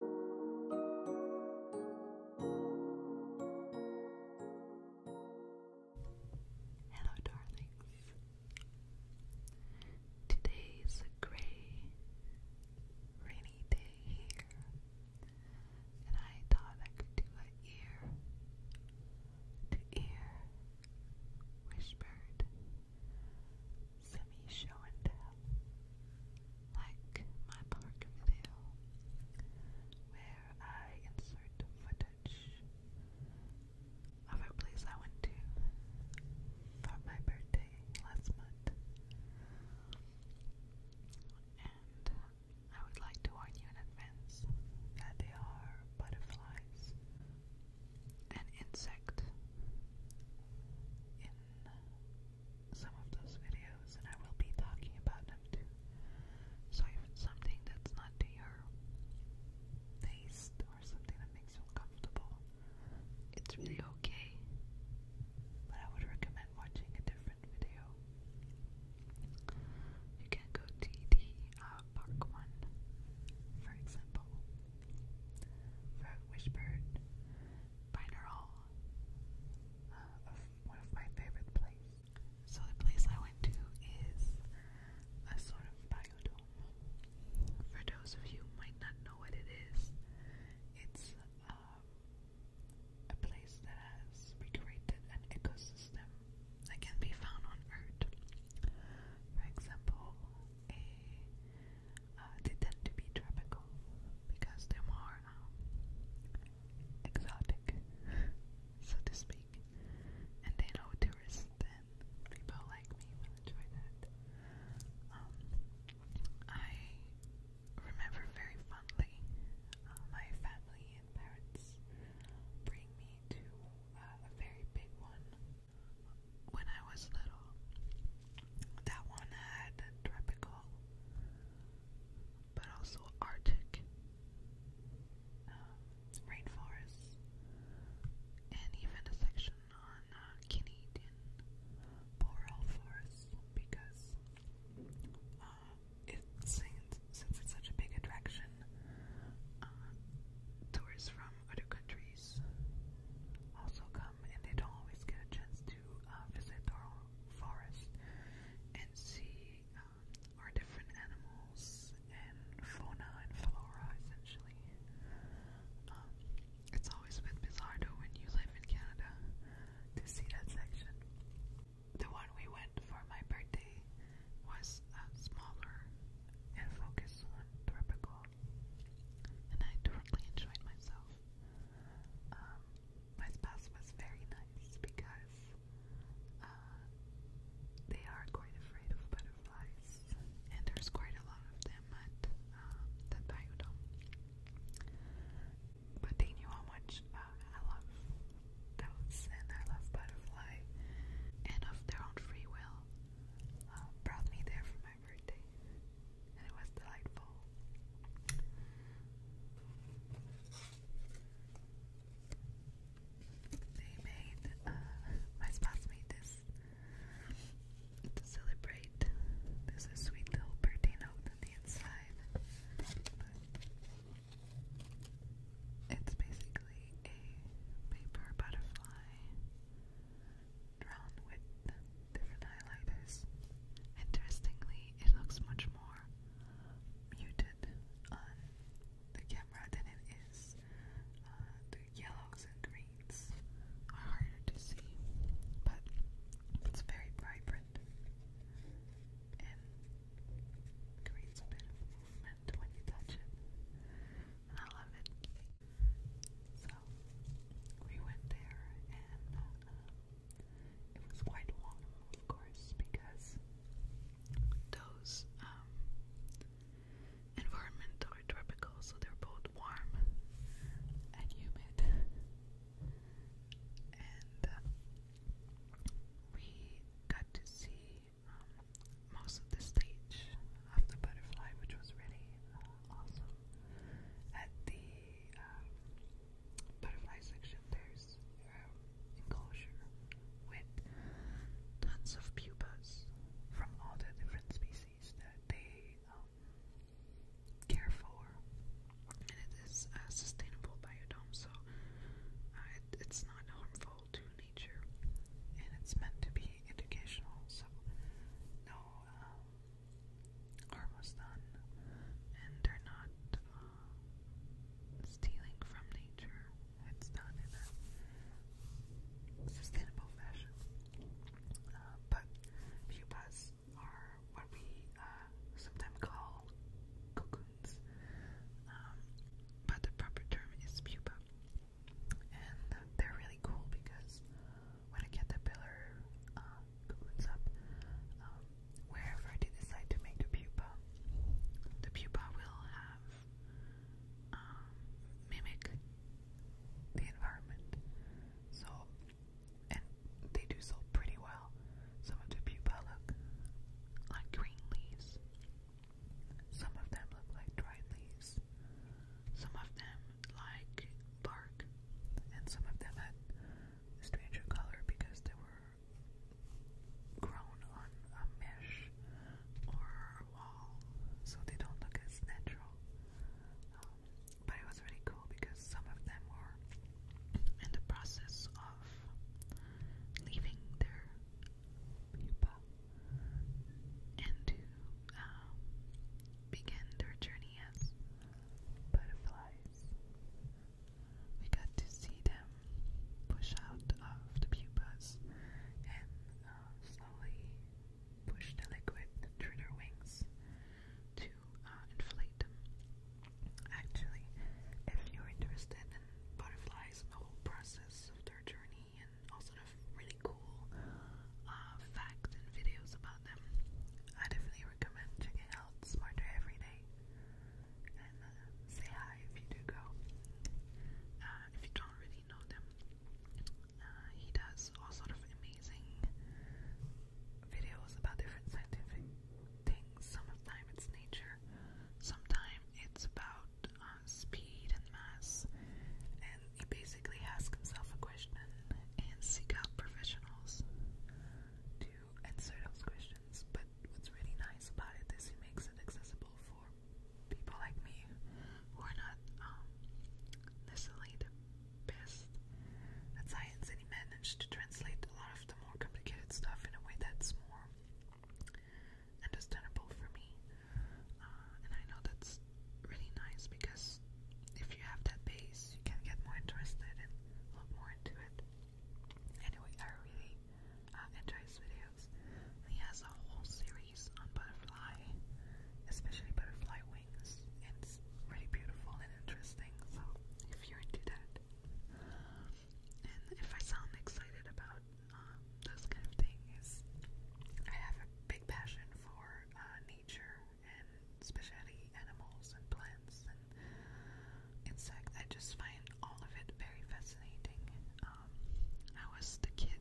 Hello, darlings. Today's a gray, rainy day here, and I thought I could do an ear to ear whispered semi show and tell, like my park video, where I insert footage of a place I went to for my birthday last month. And I would like to warn you in advance that they are butterflies, an insect in some of those videos, and I will be talking about them too. So if it's something that's not to taste or something that makes you uncomfortable, it's really okay. But I would recommend watching a different video. You can go to the uh, park one, for example. Frog Whispered binaural uh, of one of my favorite places. So the place I went to is a sort of biodome. For those of you who might not know what it is, it's um, a place that has recreated an ecosystem that can be found on Earth. For example, a uh, they tend to be tropical because they're more um, exotic, so to speak, and they know tourists and people like me will enjoy that. Um, I remember very fondly uh, my family and parents bring me to uh, a very big one when I was little. That one had tropical, but also Arctic um, rainforests, and even a section on uh, Canadian boreal forests because uh, it since, it's such a big attraction, uh, tourists from other countries also come and they don't always get a chance to to uh, visit our forest and see um, our different animals and fauna and flora, essentially. Um, it's always been bizarre though when you live in Canada to see that section. The one we went for my birthday was uh, smaller and focused on tropical and I totally enjoyed myself. Um, my spouse was very nice because uh, they are quite afraid of butterflies, and there's quite a lot of them at um, the biodome. But they knew how much uh, I love those, and I love butterfly, and of their own free will, uh, brought me there from my birthday, and it was delightful. They made uh, my spouse made this to celebrate. There's a sweet little birthday note on the inside, it's basically a paper butterfly drawn with different highlighters. Interestingly, it looks much more muted on the camera than it is. Uh, the yellows and greens are harder to see, but it's very vibrant and creates a bit of movement when you touch it. I love it. So we went there, and um, it was quite long, of course, because those um, environments are tropical, so they're both warm and humid. and uh, we got to see um, most of the stage of the butterfly, which was really uh, awesome at the um, butterfly section, there's um, enclosure with tons of pupas from all the different species that they um, care for, and it is a sustainable biodome, so uh, it, it's not harmful to nature, and it's meant to be educational, so no. Um, almost done, and they're not uh, stealing from nature. It's done in a sustainable fashion. Uh, but pupas are what we uh, sometimes call cocoons, um, but the proper term is pupa. And they're really cool because when I get the pillar uh, um, cones up, um, wherever I decide to make the pupa, the pupa will have um, mimic the environment. So, and they do so pretty well. Some of the pupa look like green leaves. Some of them look like dried leaves. Some of them like bark, and some of them had a stranger color because they were grown on a mesh or a wall, so they don't look as natural. Um, but it was really cool because some of them were in the process of leaving their pupa into um, began their journey as butterflies. We got to see them push out of the pupas and uh, slowly push the liquid through their wings to uh, inflate them. Actually, if you're interested in butterflies the whole process of their journey, funny and all sort of really cool uh, facts and videos about them. I definitely recommend checking out Smarter Every Day and uh, say hi if you do go. Uh, if you don't really know them, uh, he does all sort of amazing videos about different scientific things. Sometimes it's nature, sometimes it's about uh, speed and mass, and he basically asks himself a question and seek out professionals to answer those questions. But what's really nice about it is he makes it accessible for people like me who are not um, necessarily the best at science, and he managed to translate a lot of the more complicated stuff in a way that's more understandable for me. Uh, and I know that's really nice because if you have that base, you can get more interested and look more into it. Anyway, I really uh, enjoy his videos. He has a whole series on butterfly, especially butterfly wings. It's really beautiful and interesting, so if you're into that. And if I sound excited about um, those kind of things, I have a big passion for uh, nature and especially animals and plants and insects. I just find all of it very fascinating. Um, I was the kid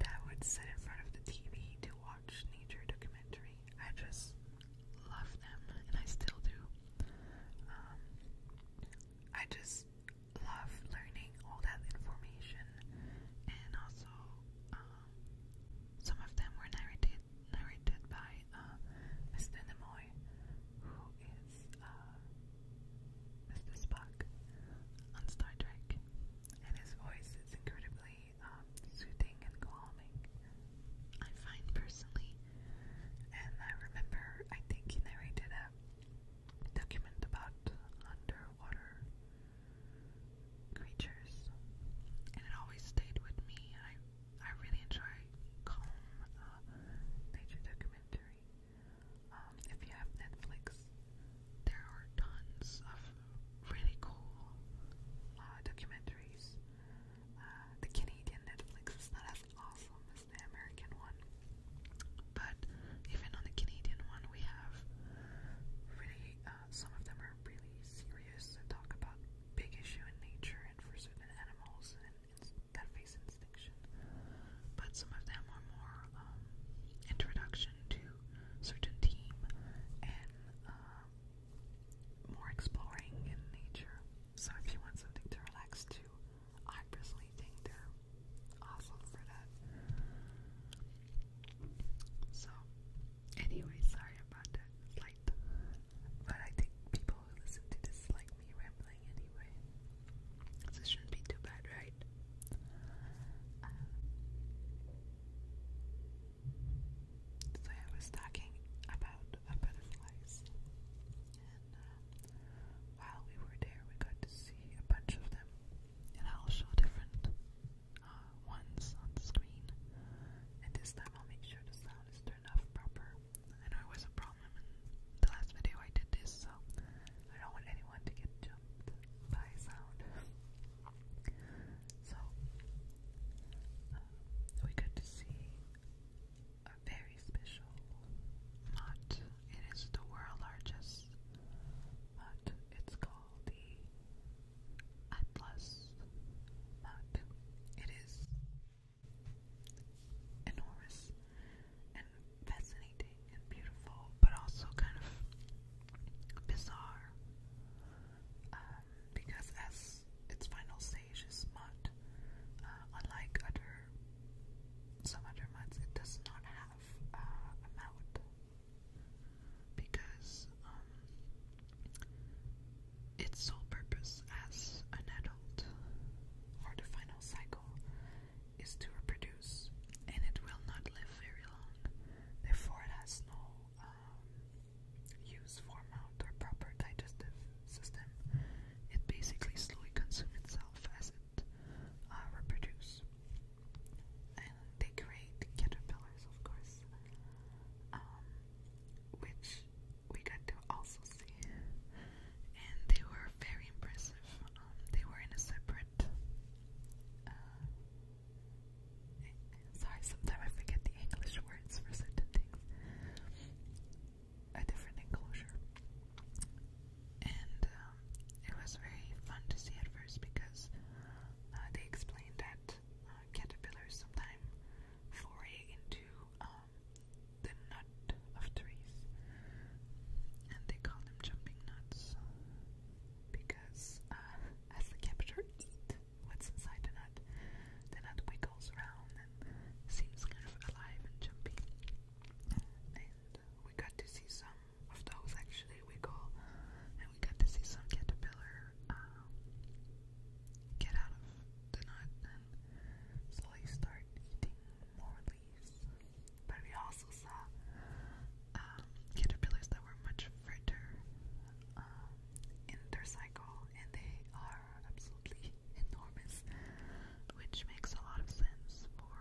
that would sit in front of the TV to watch nature documentary. I just love them, and I still do. Um, I just love learning all that information and also um, some of them were narrated narrated by Mr. Uh, Nimoy, who is uh, Mr. Spock on Star Trek, and his voice is incredibly um, soothing and calming. I find personally, and I remember, I think he narrated a document about under water creatures, and it always stayed with me. I I really enjoy calm uh, nature documentary. Um, if you have Netflix, there are tons of really cool uh, documentaries. Uh, the Canadian Netflix is not as awesome as the American one, but even on the Canadian one, we have really uh, some of them are really serious and talk about big issue in nature and for certain animals and, and that face extinction. But some of them are more um, introduction to certain team and uh, more exploring in nature. So if you want something to relax to, I personally think they're awesome for that. So, anyway, sorry about that but I think people who listen to this like me rambling anyway. So shouldn't be too bad, right? Uh, so I was talking about butterflies, and uh, while we were there, we got to see a bunch of them and I'll show different uh, ones on the screen. And this time I'll make sure the sound is turned off proper. I know it was a problem the last video I did this, so I don't want anyone to get jumped by sound. so, uh, we got to see a very special mod. It is the world's largest uh, it's called the Atlas map. It is enormous and fascinating and beautiful, but also kind of bizarre um, because as its final stage is mud, uh, unlike other some other muds, it does not have uh, a mouth because um, its sole purpose as an adult or the final cycle is to reproduce, and it will not live very long. Therefore, it has no um, use for mouth or proper digestive system. It basically slowly consumes itself as it uh, reproduce. And they create caterpillars, of course, um, which we got to also see. And they were very impressive. Um, they were in a separate. Uh, sorry, sometimes I forget the English words for certain things. A different enclosure and um, it was very fun to see at first because uh, they explained that uh, caterpillars sometimes foray into um, the nut of trees, and they call them jumping nuts because, uh, as the caterpillar eats what's inside the nut, the nut wiggles around and seems kind of alive and jumpy. And we got to see some of those actually we call and we got to see some caterpillar um, get out of the nut and slowly start eating more leaves but we also saw um, caterpillars that were much further um, in their cycle and they are absolutely enormous which makes a lot of sense for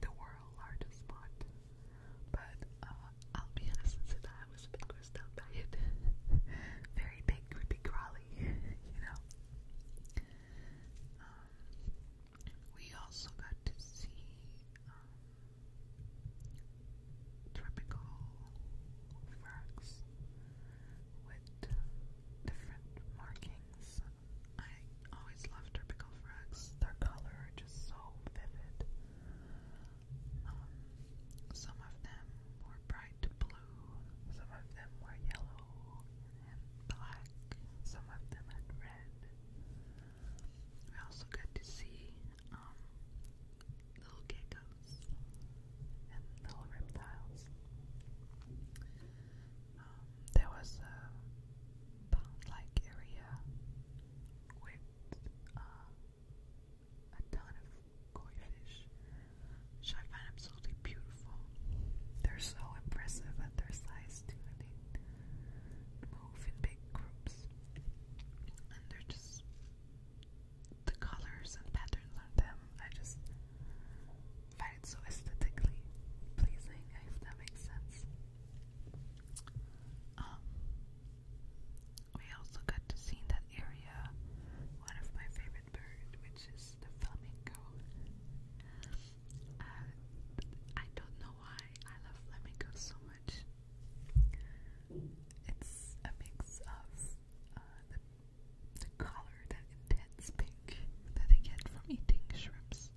the world's largest pot. But uh, I'll be honest and say I was a bit grossed out by it. Very big, creepy, crawly, you know. Um, we also got to see um, tropical frogs with different markings I always love tropical frogs. Their color are just so vivid. Um, some of them were bright blue, some of them were yellow and black, some of them had red. We also got to see um, little geckos and little reptiles there was a pond-like area with uh, a ton of koi fish, which I find absolutely beautiful. They're so impressive at their size too, and they move in big groups, and they're just the colors and patterns on them. I just find it so aesthetically pleasing, if that makes sense. Um, we also got to see that area one of my favorite birds, which is the flamingo. Uh, I don't know why I love flamingos so much. It's a mix of uh, the color, that intense pink that they get from eating shrimps,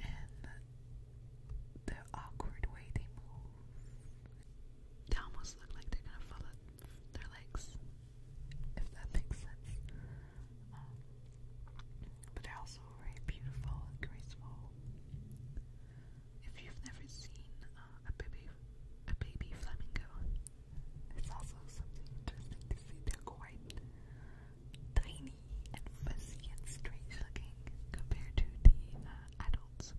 and the awkward way they move. They almost look like they're gonna follow their legs, if that makes sense. Um, but they're also very beautiful and graceful. If you've never seen uh, a baby, a baby flamingo, it's also something interesting to see. They're quite tiny and fuzzy and strange looking compared to the uh, adults.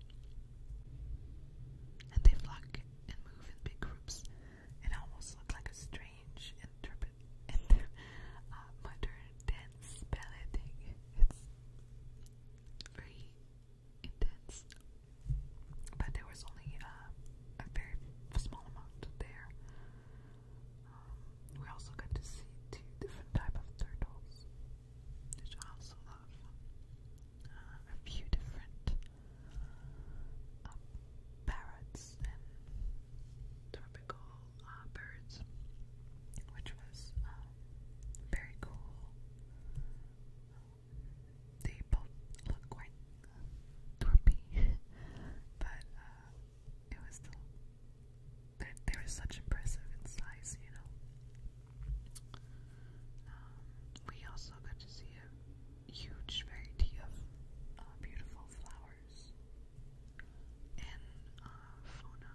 And they flock and move in big groups. It almost looks like a strange interpret inter uh, modern dance ballet thing. It's very intense. But there was only uh, a very small amount there. Um, we also got to see two different type of turtles, which I also love. Uh, a few different uh, parrots tropical uh, birds, which was very cool. they both look quite droopy, but it was still they, they were such impressive in size, you know. Um, we also got to see a huge variety of uh, beautiful flowers and uh, fauna,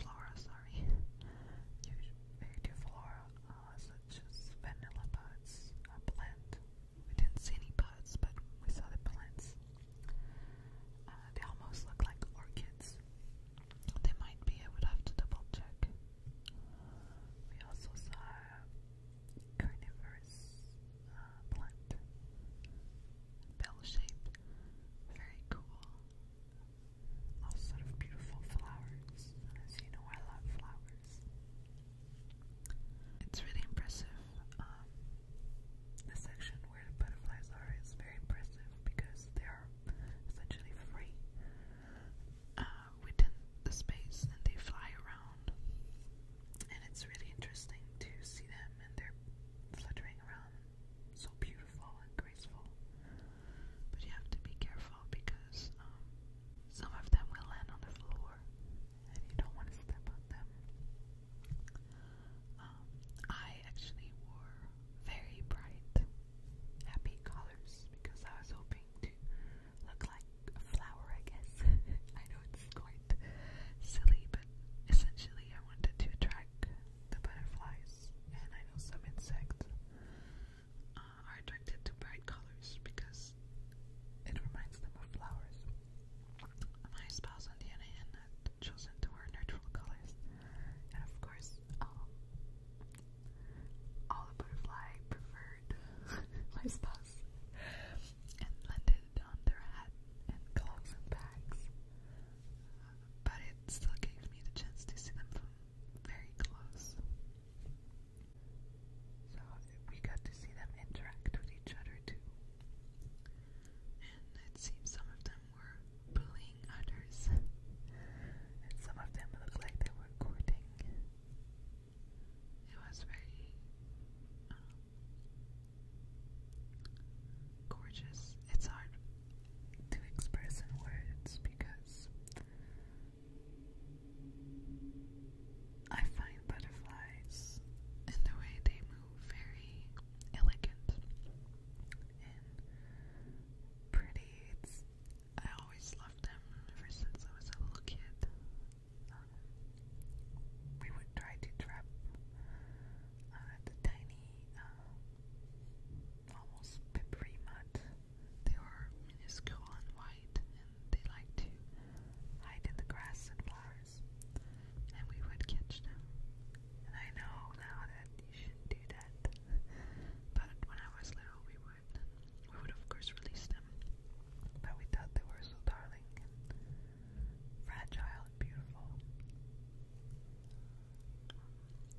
flora, sorry, huge variety of flora, uh, such as vanilla buds, a plant, we didn't see any buds, but we saw the plants. Uh, they almost look like orchids. They might be, I would have to double check. We also saw carnivorous uh, plant, bell shaped, very cool. All sort of beautiful flowers. As you know, I love flowers. It's really impressive. Um, the section where the butterflies are is very impressive because they are essentially free uh, within the space and they fly around. And it's really interesting to see them and they're fluttering around. So beautiful and graceful. But you have to be careful because um, some of them will land on the floor and you don't want to step on them. Um, I actually wore very bright, happy colors because I was hoping to look like a flower, I guess. I know it's quite silly, but essentially, I wanted to attract the butterflies, and I know some insects uh, are attracted to bright colors because because it reminds them of flowers. My spouse, on the other hand, had chosen to wear neutral colors, and of course, um, all the butterfly preferred my spouse and landed on their hat and clogs and bags. But it still gave me the chance to see them from very close. So we got to see them interact with each other too. And it seems some of them were bullying others. and some of them looked like they were courting. It was very um, gorgeous. It's hard to express in words because I find butterflies and the way they move very elegant and pretty. I always loved them ever since I was a little kid. Um, we would try to trap uh, the tiny, uh, almost peppery mud. They were minuscule and white, they like to hide in the grass and flowers. And we would catch them. And I know now that you shouldn't do that. but when I was little we would we would of course release them. But we thought they were so darling and fragile and beautiful.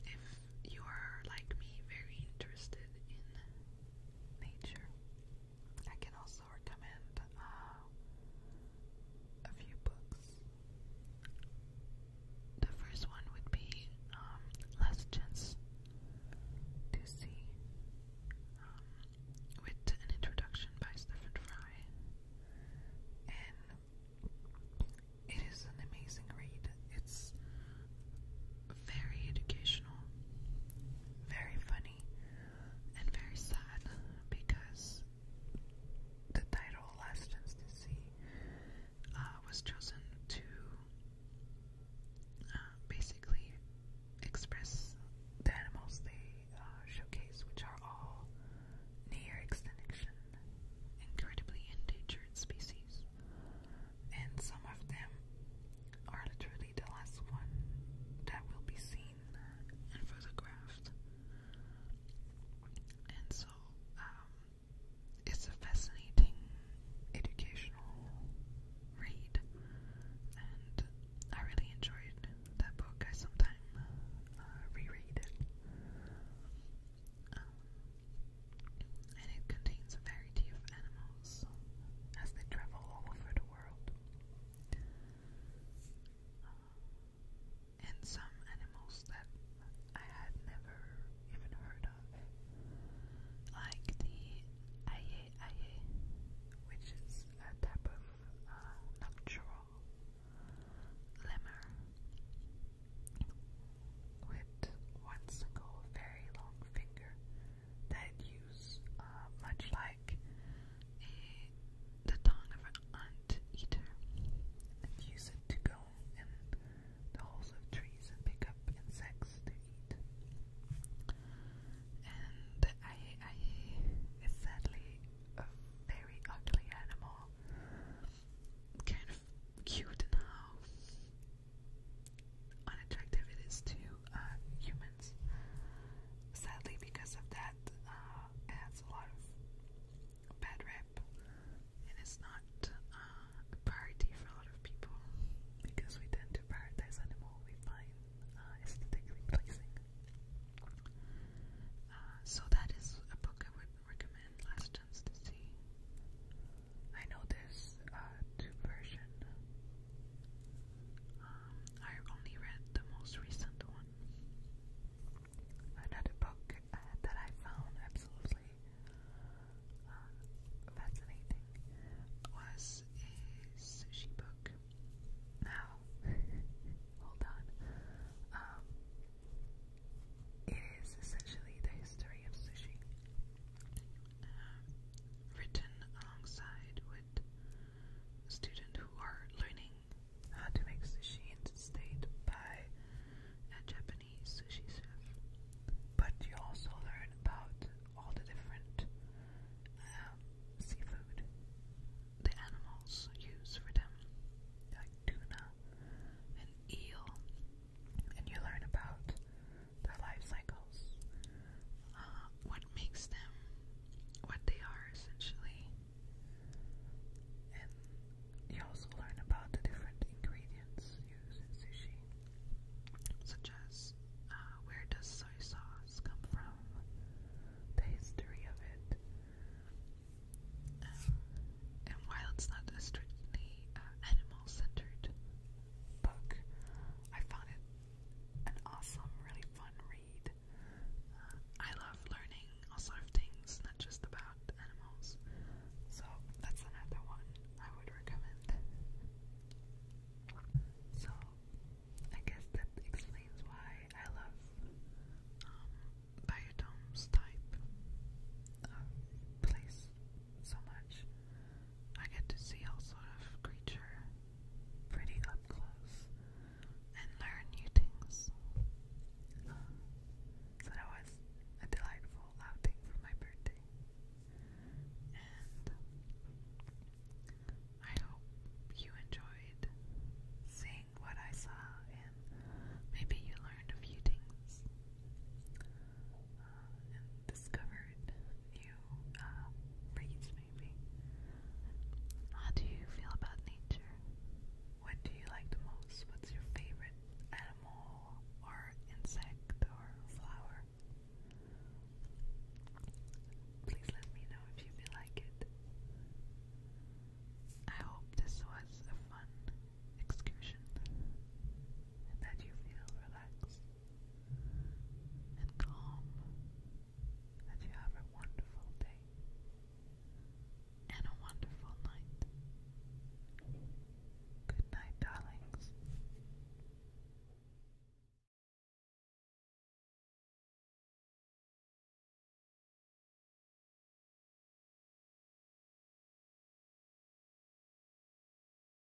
If you are like me, very interested in nature, I can also also recommend uh, a few books. The first one would be um, Last Chance to See, um, with an introduction by Stephen Fry, and it is an amazing read. It's very educational, very funny, and very sad because the title Last Chance to See was chosen to uh, basically express the animals they uh, showcase, which are all near extinction, incredibly endangered species. And some of them are literally likely the last one that will be seen and photographed. And so, um, it's a fascinating educational read, and I really enjoyed that book. I sometimes uh, reread it. Um, and it contains a variety of animals as they travel all over the world. Uh, and some animals that I had never even heard of, like the aye aye, which is a type of uh, nocturnal lemur, with one single very long finger that use, uh, much like a, the tongue of an ant eater, and use it to go in the holes of trees and pick up insects to eat. And the aye aye is sadly a very ugly animal, kind of cute now, unattractive it is to uh, humans. Sadly, because of that, uh, it has a lot of bad rep, and it's not uh, a priority for a lot of people because we tend to prioritize animal we find aesthetically pleasing. so that is a book I would recommend. Last chance to see. I know there's two version um, I only read the most recent one. Another book uh, that I found absolutely uh, fascinating was a sushi book. Now, hold on. Um, it is essentially the history of sushi uh, written alongside with students who are learning how to make sushi in the state by a Japanese sushi chef. But you also learn about all the different um, seafood the animals use for them, like tuna and eel, and you learn about their life cycles, uh, what makes them what they are essentially. And you also learn about the different ingredients used in sushi, such as uh, where does soy sauce come from, the history of it. Um, and while it's not a strictly uh, animal-centered book, I found it an awesome, really fun read. Uh, I love learning all sorts of things, not just about animals. So that's another one I would recommend. So I guess that explains why I love um, type place so much. I get to see all sort of creature pretty up close and learn new things. Um, so that was a delightful outing for my birthday. And I hope you enjoyed seeing what I saw and maybe you learned a few things uh, and discovered new uh, breeds, maybe. How do you feel about nature? What do you like the most? What's your favorite animal or insect or flower? Please let me know if you feel like it. I hope this was a fun excursion and that you feel relaxed and calm, that you have a wonderful day and a wonderful night. Good night, darlings.